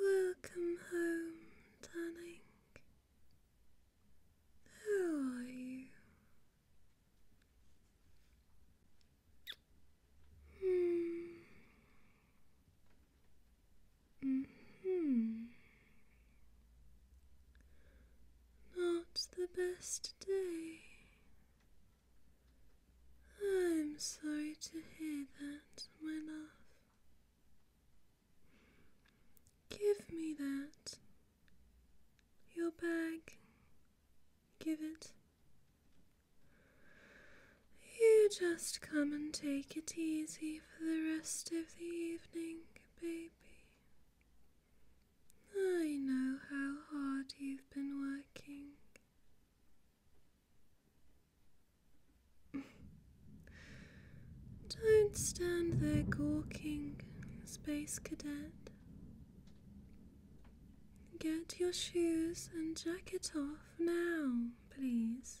Welcome home, darling. How are you? Hmm. hmm. hmm. Not the best day. I'm sorry to hear that, my love. Give me that. Your bag. Give it. You just come and take it easy for the rest of the evening, baby. I know how hard you've been working. Don't stand there gawking, Space Cadet. Get your shoes and jacket off now, please.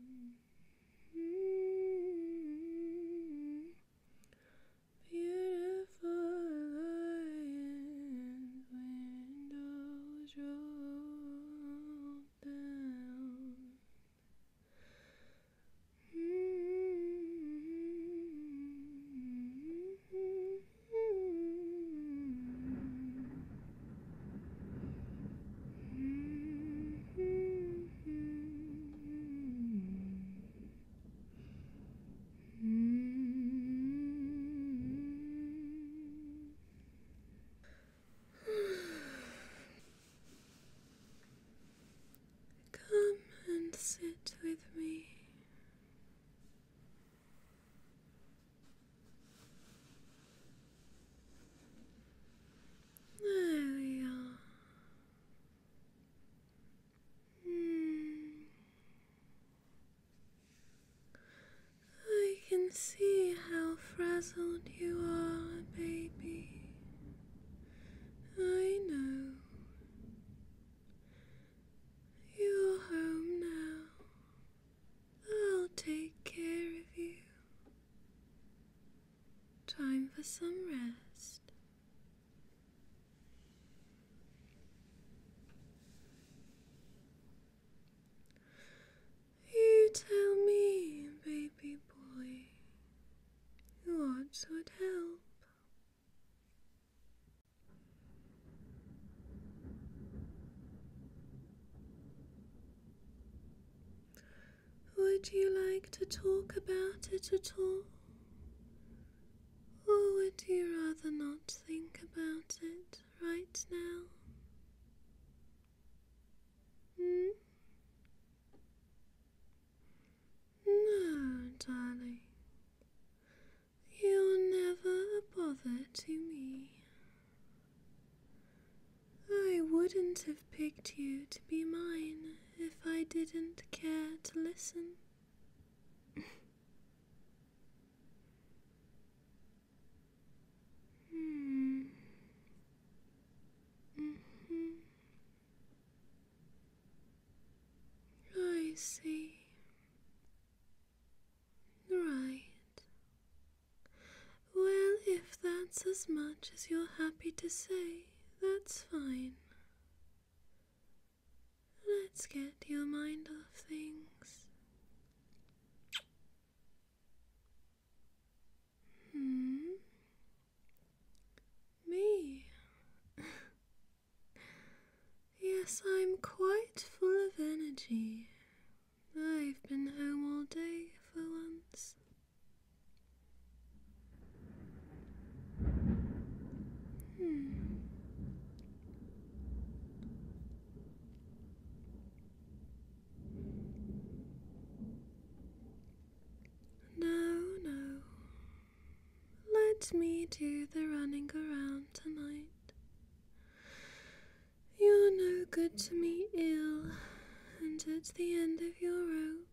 Beautiful lions, windows roll down. Mm-hmm. Come and sit with me. There we are. Mm. I can see how frazzled you are, baby. I know. You're home now. I'll take care of you. Time for some rest. You tell me, baby boy, what would help? Would you like to talk about it at all? Or would you rather not think about it right now? Hmm? No, darling. You're never a bother to me. I wouldn't have picked you to be mine if I didn't care to listen. hmm. Mm -hmm. I see. Right. Well, if that's as much as you're happy to say, that's fine. Let's get your mind off things. Hmm? Me? yes, I'm quite full of energy. I've been home all day for once. Hmm. No, no. Let me do the running around tonight. You're no good to me, ill, and at the end of your rope.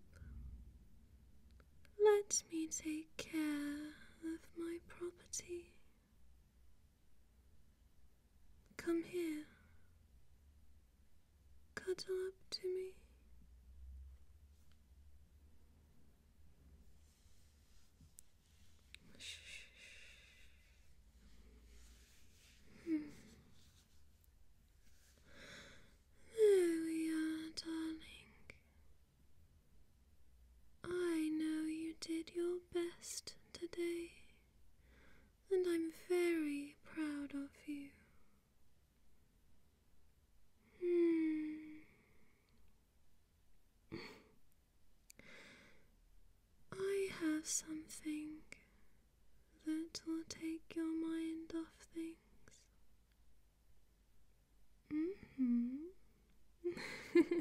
Let me take care of my property. Come here. Cuddle up to me. Shh. Hmm. There we are, darling. I know you did your best today, and I'm very proud of you. Hmm. I have something that will take your mind off things. Mm-hmm.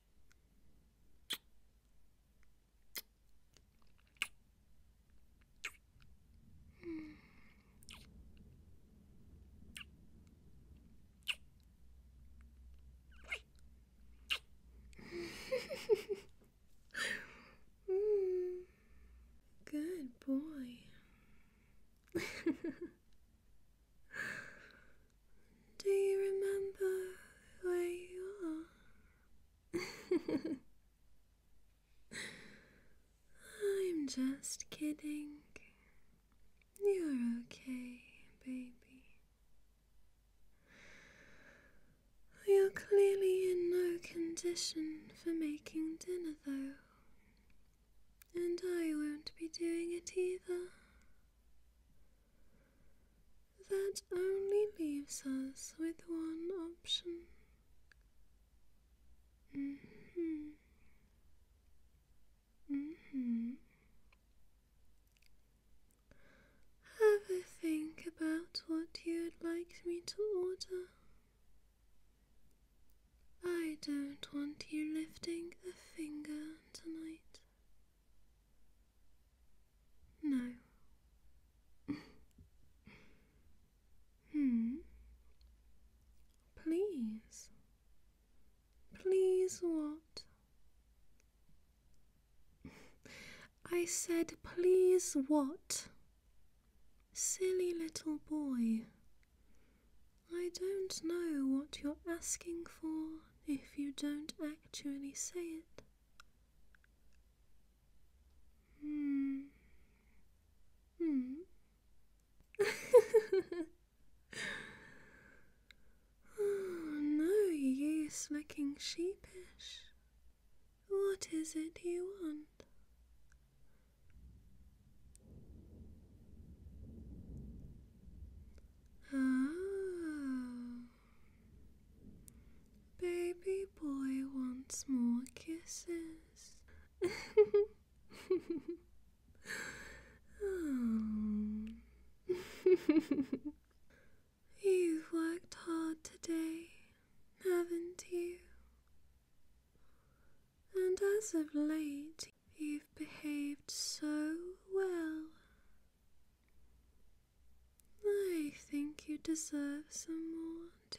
Good boy. Do you remember where you are? I'm just kidding. You're okay, baby. You're clearly in no condition for making dinner, though, and I won't be doing it either. That only leaves us with one option. hmm. hmm. Have a think about what you'd like me to order. I don't want you lifting a finger tonight. No. hmm. Please. Please what? I said, please what? Silly little boy. I don't know what you're asking for if you don't actually say it. Hmm. Hmm. Oh, no use looking sheepish. What is it you want? Oh. Baby boy wants more kisses. You've worked hard today, haven't you? And as of late, you've behaved so well. I think you deserve some more, too.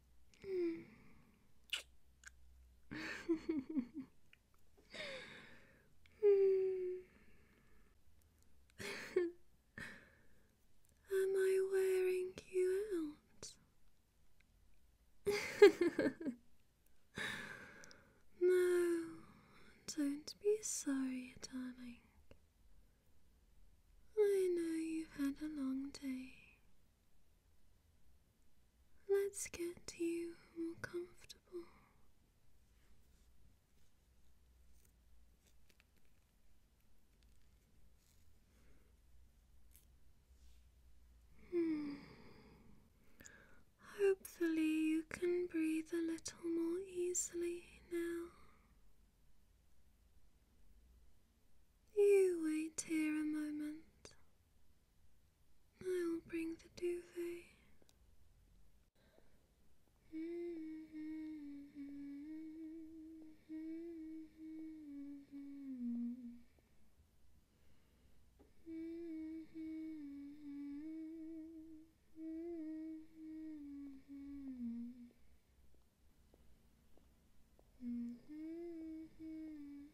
Hmm. Am I wearing you out? no, don't be sorry, darling. I know you've had a long day. Let's get you more comfortable. Hmm. Hopefully, you can breathe a little more easily now. You wait here a moment I'll bring the duvet. mm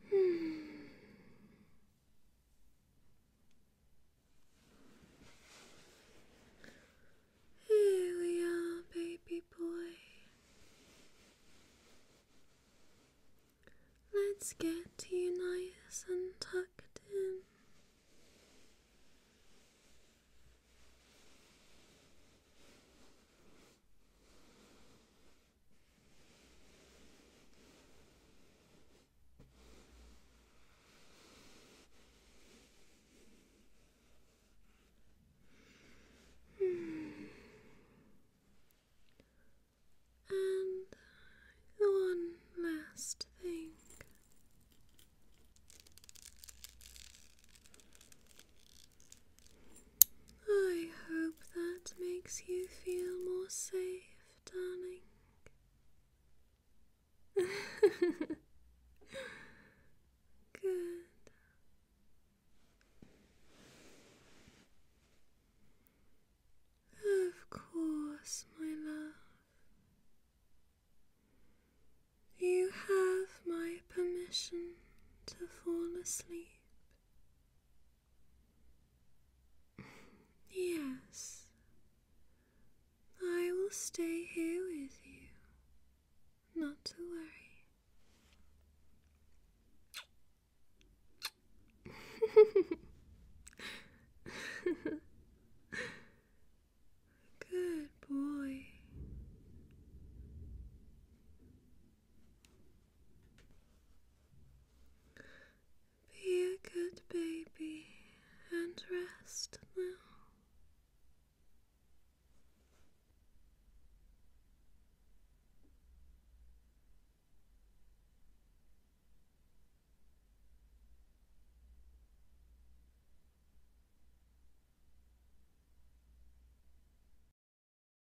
Here we are, baby boy. Let's get you nice and tucked in. Hmm. And one last thing. I hope that makes you feel more safe, darling. Good. Of course, my love. You have my permission to fall asleep. Yes, I will stay here with you. Not to worry. Good boy. Be a good baby and rest now.